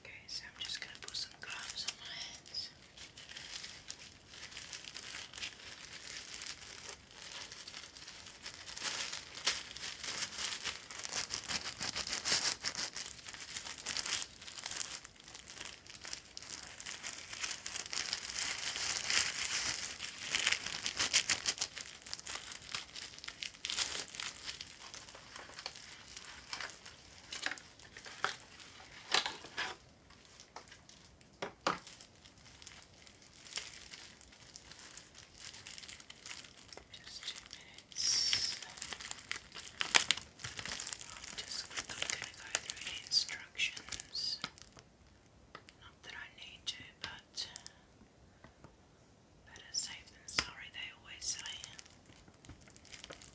Okay, so I'm just going to put some gloves on my hands. Just two minutes. I'm just quickly going to go through the instructions. Not that I need to, but Better safe than sorry, they always say. Okay.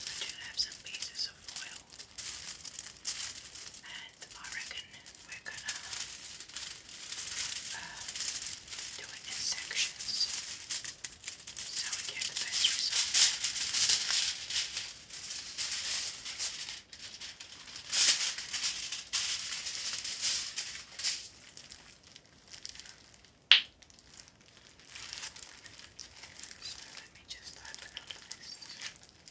I do have some pieces of foil, and I reckon we're gonna uh, do it in sections so we get the best result. So let me just open up this. Okay,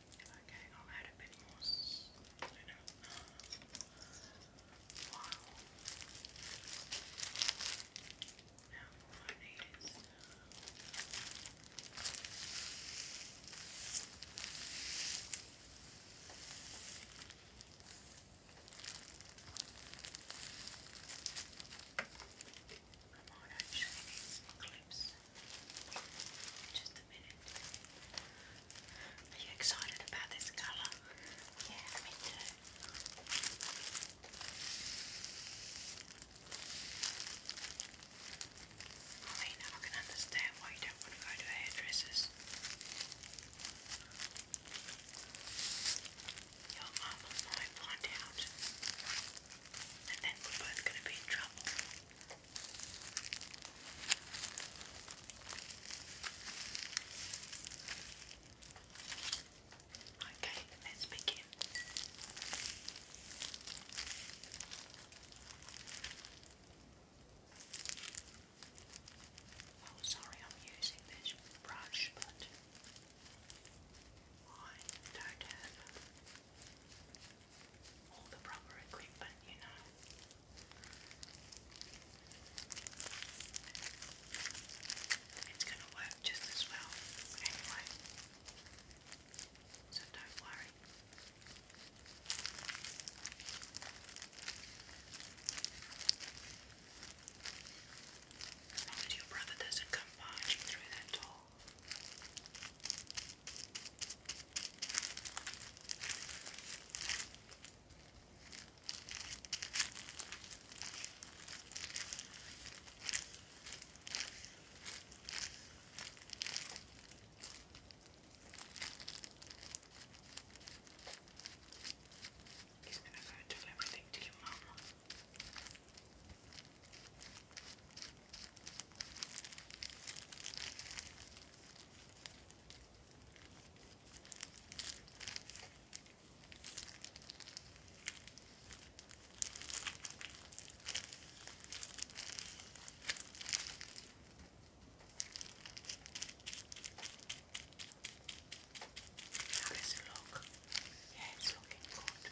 Okay, I'll add a bit more. You Wow. Now I need is. I might actually are you excited about this colour? Yeah, me too. I mean, I can understand why you don't want to go to hairdressers. Your mum might find out, and then we're both going to be in trouble. Okay, let's begin. Oh, sorry, I'm using this brush, but I don't have all the proper equipment, you know. It's going to work just as well anyway, so don't worry. As long as your brother doesn't come barging through that door. He's going to go and do everything to your mum. How does it look? Yeah, it's looking good.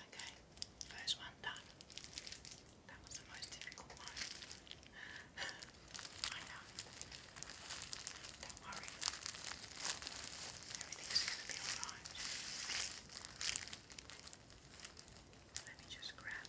Okay, first one done. That was the most difficult one. I know. Don't worry. Everything's gonna be alright. Let me just grab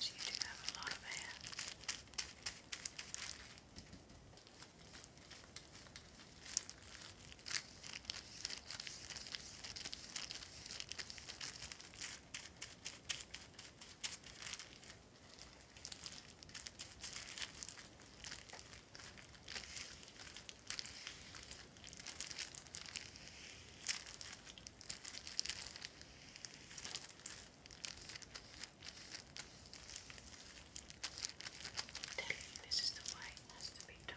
So you do have a lot of hair telling you this is the way it has to be done.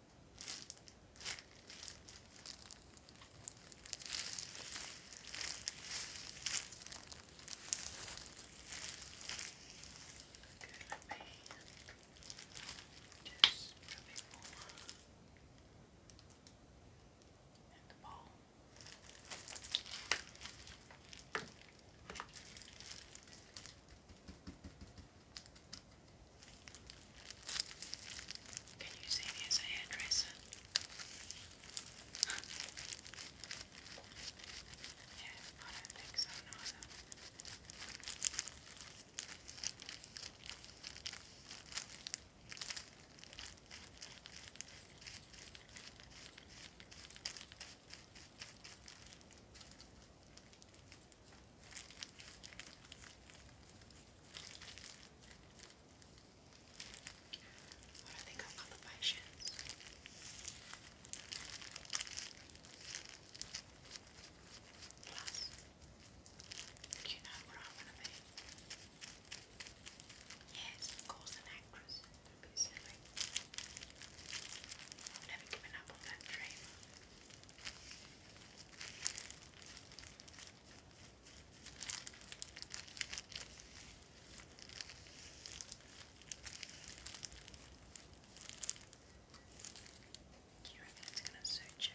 let me just rub it more in the bowl. There can you see me as a hairdresser? yeah, I don't think so neither. What do you know what I want to be? Yes, of an actress. Don't be silly. I've never given up on that dream. Do you reckon it's going to suit you?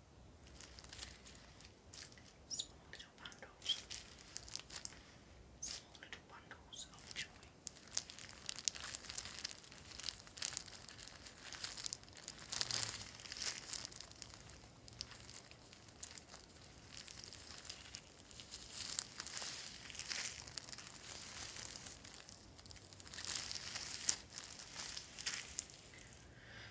Small little bundles. Small little bundles of joy.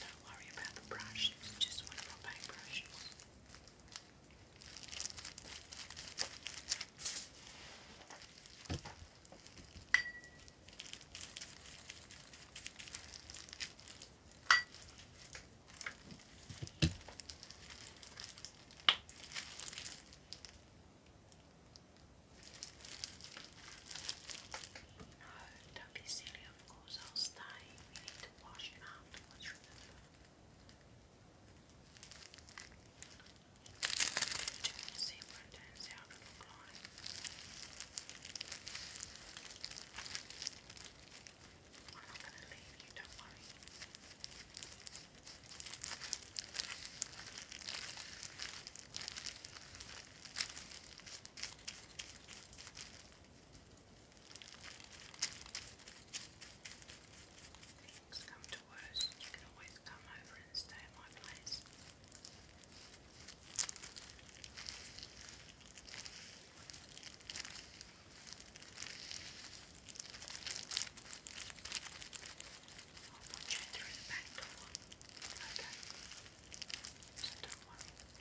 Don't worry about the brush, it's just one of my paintbrushes. No, don't be silly, of course I'll stay. We need to wash it off. Let's remove it. See what it turns out I'm not going to leave you, don't worry. Things come to worse, you can always come over and stay at my place. I'll put you through the back Okay.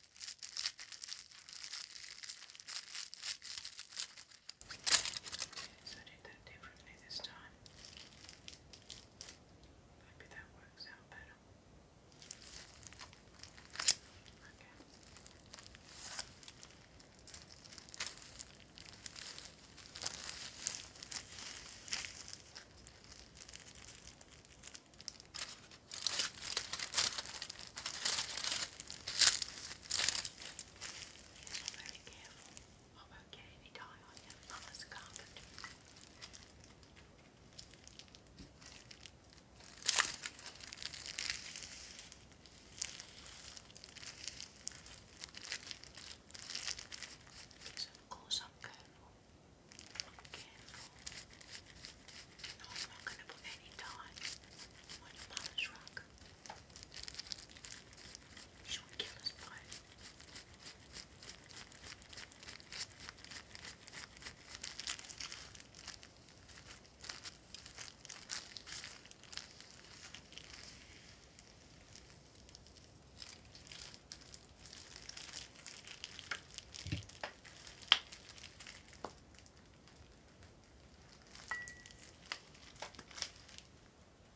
So I did that differently this time. Maybe that works out better. Okay. Okay very careful. I won't get any on you. Mama's carpet. So of course careful. i no, I'm not going to put any dye on your polish rock. She would kill us by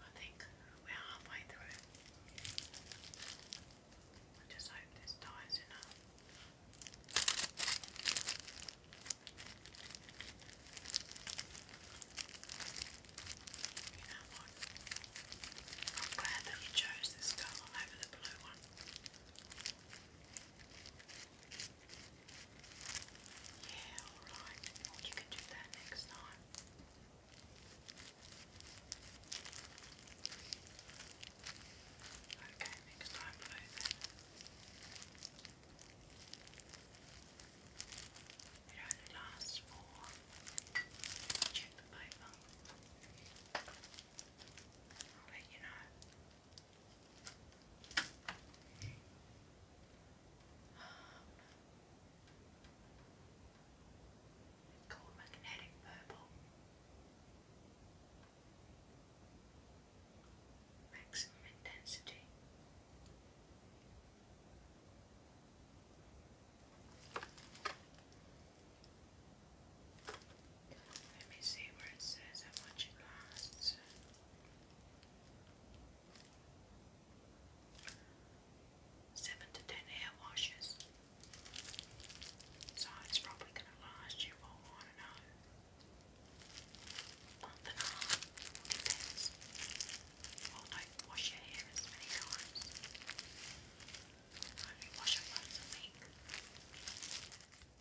I think we're halfway through I just hope this ties enough. You know what? I'm glad that you chose this colour over the blue one. Yeah, alright. you can do that next time. Okay, next time we It only lasts for... Check the paper. i you know. It's called magnetic purple. Maximum intensity. Let me see where it says how much it lasts. Seven to ten hair washes. So it's probably going to last you for, I do Well, don't wash your hair as many times. Only wash it once a week.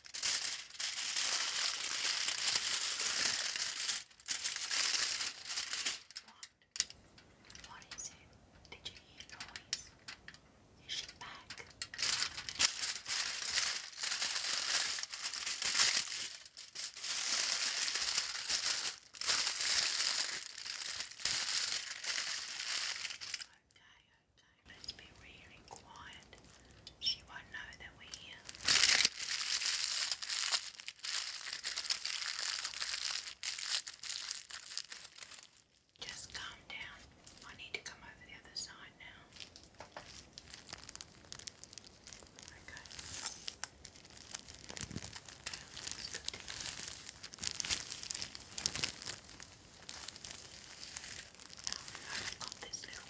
What? What is it? Did you hear noise? Is she back? Okay, okay. Let's be really quiet she won't know that we're here. Just calm down. I need to come over the other side now. Okay. Oh, I've got this little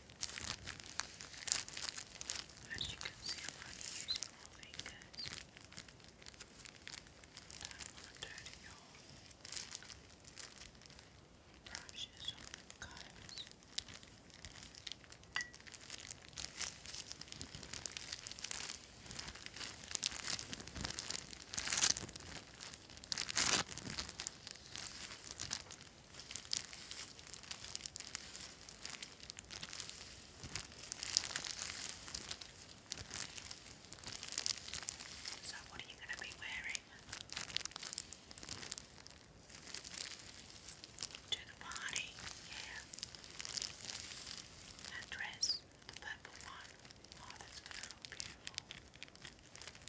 As you can see, I'm only using my fingers. I don't want to turn your brushes on the combs. Now so, what are you going to be wearing to the party? Yeah, that dress, the purple one. Oh, that's going to look beautiful.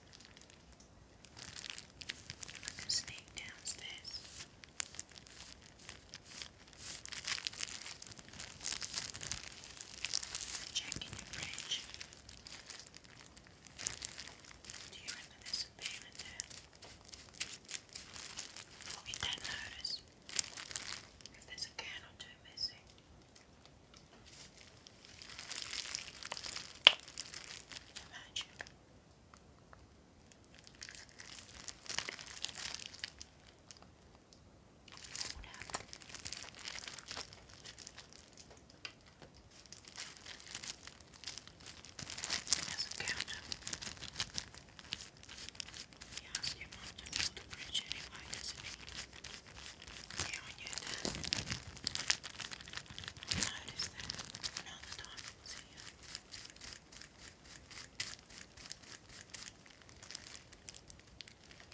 I can sneak downstairs. Check in the fridge. Do you remember there's a beer in there? not notice if there's a can or two missing. Imagine. What would happen? It doesn't count. He asked your mom to build a yeah, when you're done. that when time see you.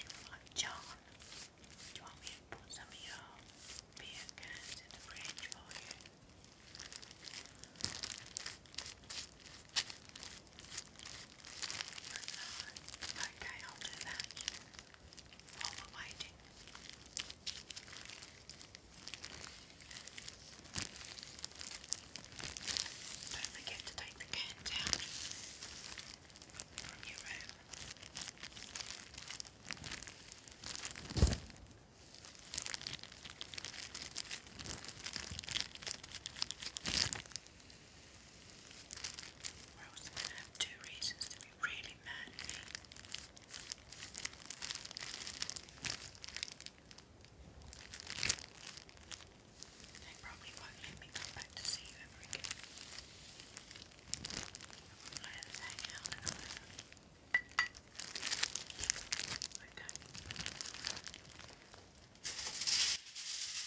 You're John. Do you want me to put some of beer cans in the fridge for you? Okay, I'll do that all the Don't forget to take the can down from your room. We're going to have two reasons to be really mad at me. They probably won't let me come back to see you ever again. I have to hang out and all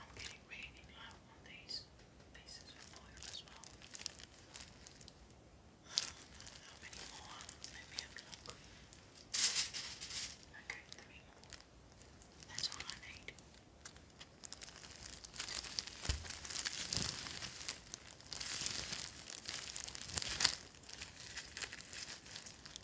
I'm getting really low on these pieces of foil as well. How many more? Let me have a look. Okay, three more. That's all I need.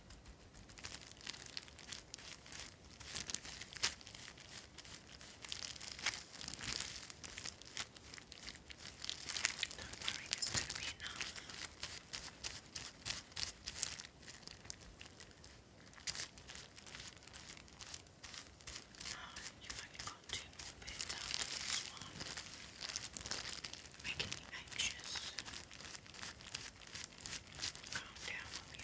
worry, it's going to be enough. Now, you've only got two more bits out of this one. Making me anxious. Right. Calm down, okay? Okay.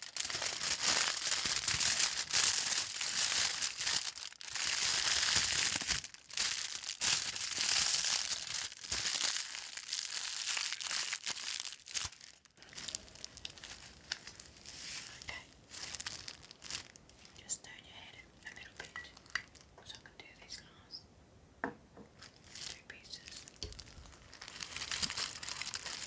Okay. Just turn your head a little bit so I can do these glass. Two pieces.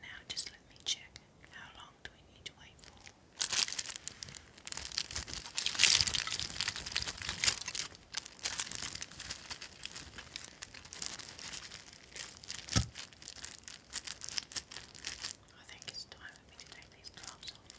Now just let me check how long long do I think it's time for me to take these gloves off.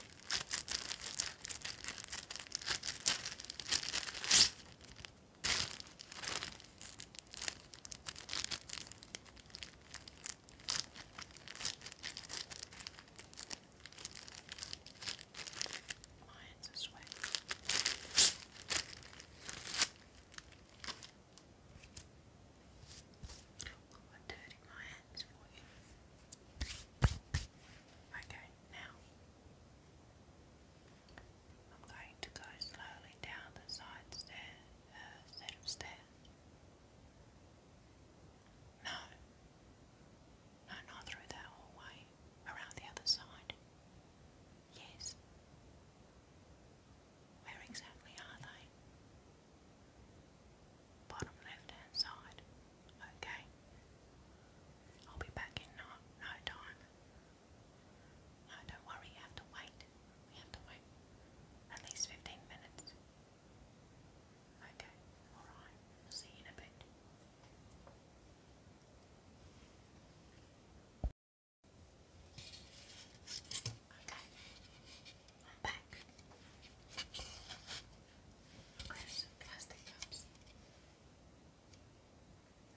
Mine's this way. Oh, I'm dirty my hands for you. Okay, now I'm going to go slowly down the side stair, uh, set of no. No, not through that hallway. Around the other side. Yes. Where exactly are they? Bottom left hand side. Okay. I'll be back in no, no time. No, don't worry, you have to wait. We have to wait. At least 15 minutes. Okay, alright, see you in a bit. Okay, I'm back. plastic cups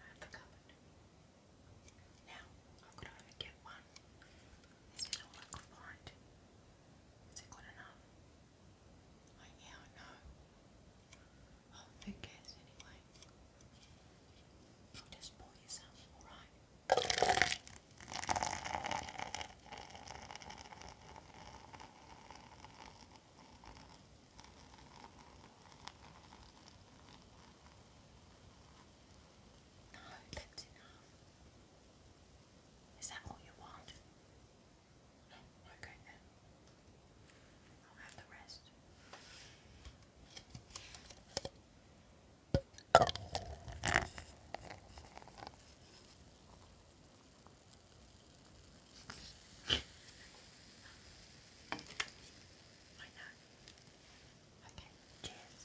out the cupboard. Now, I've got to get one. This is all I could find. Is it good enough? Like, yeah, I know. Oh, who cares anyway? just pour you alright? No, that's enough. Is that all you want? Okay then. I'll have the rest. I know. Okay, cheers.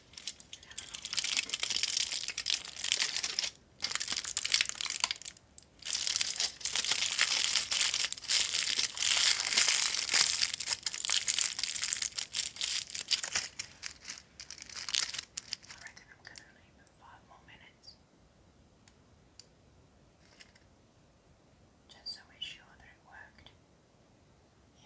I reckon I'm gonna leave in five more minutes. Just so we're sure that it worked. Yeah.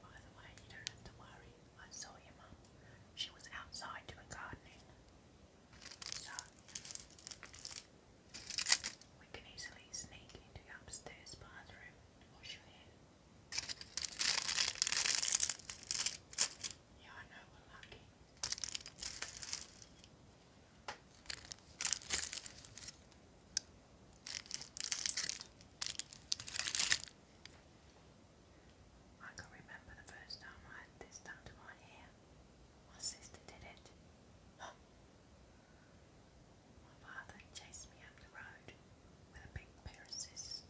By the way, you don't have to worry. I saw your mum. She was outside doing gardening. So, we can easily sneak into the upstairs bathroom wash your hair. Yeah, I know we're lucky. I can remember the first time I had this done to my hair. My sister did it. my father chased me up the road with a big pair of scissors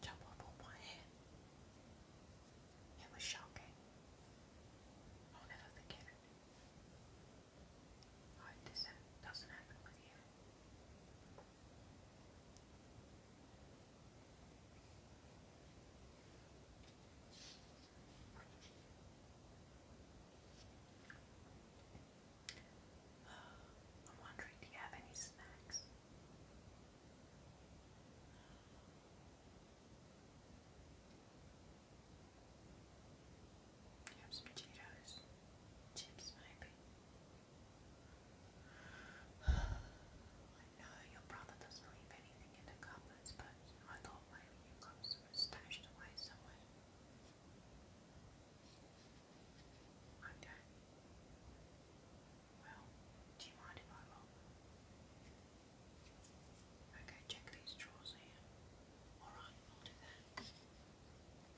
chop off all my hair. It was shocking. I'll never forget it. I you. am wondering, do you have any snacks? you have some Cheetos? Chips, maybe. I know your brother doesn't leave anything in the cupboards, but I thought maybe your cups were stashed away somewhere. Okay. Well, do you mind if I look? Okay, check these drawers here. Alright, I'll do that.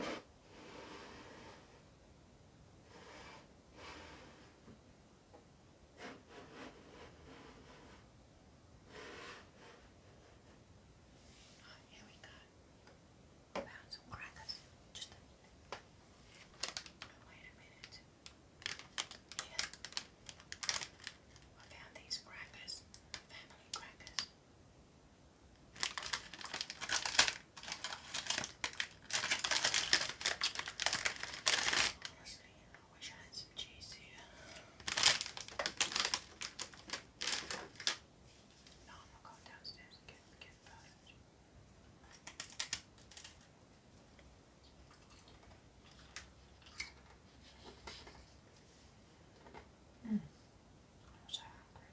Oh, here we go. Found some crackers. Just a minute. wait a minute. Yeah. I found these crackers. Family crackers. Honestly, I wish I had some cheese here. No, I'm not going downstairs and get, get that. Hmm. I'm so hungry.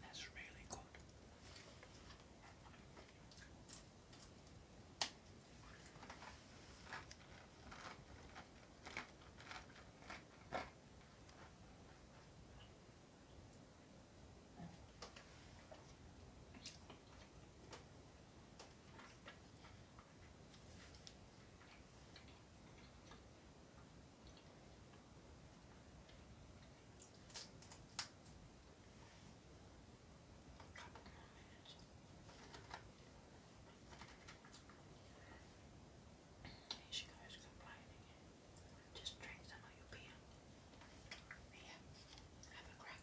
That's really good. She goes complaining. Just drink some of your beer. Here, have a crack.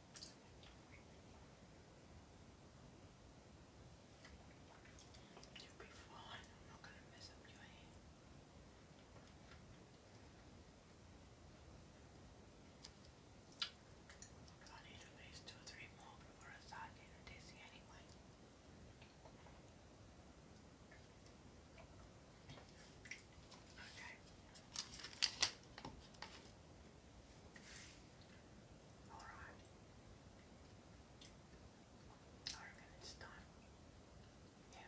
You'll be fine. I'm not going to mess up your hair. I need at least two or three more before I start getting dizzy anyway. Okay. All right. I reckon it's time. Yeah.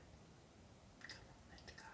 Come on, let's go. Okay.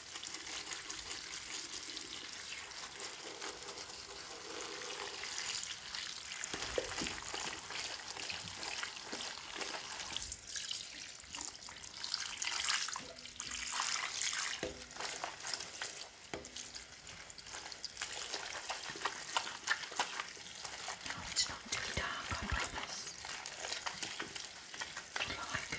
No, it's not too dark, I promise. I like it.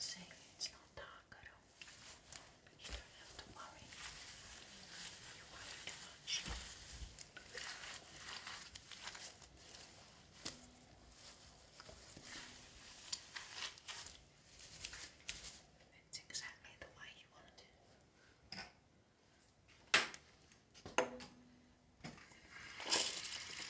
See, it's not dark at all. But you don't have to worry. You worry too much. It's exactly the way you want it.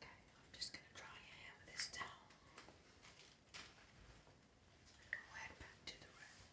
Okay, I'm just going to dry your hair with this towel. go head back to the room.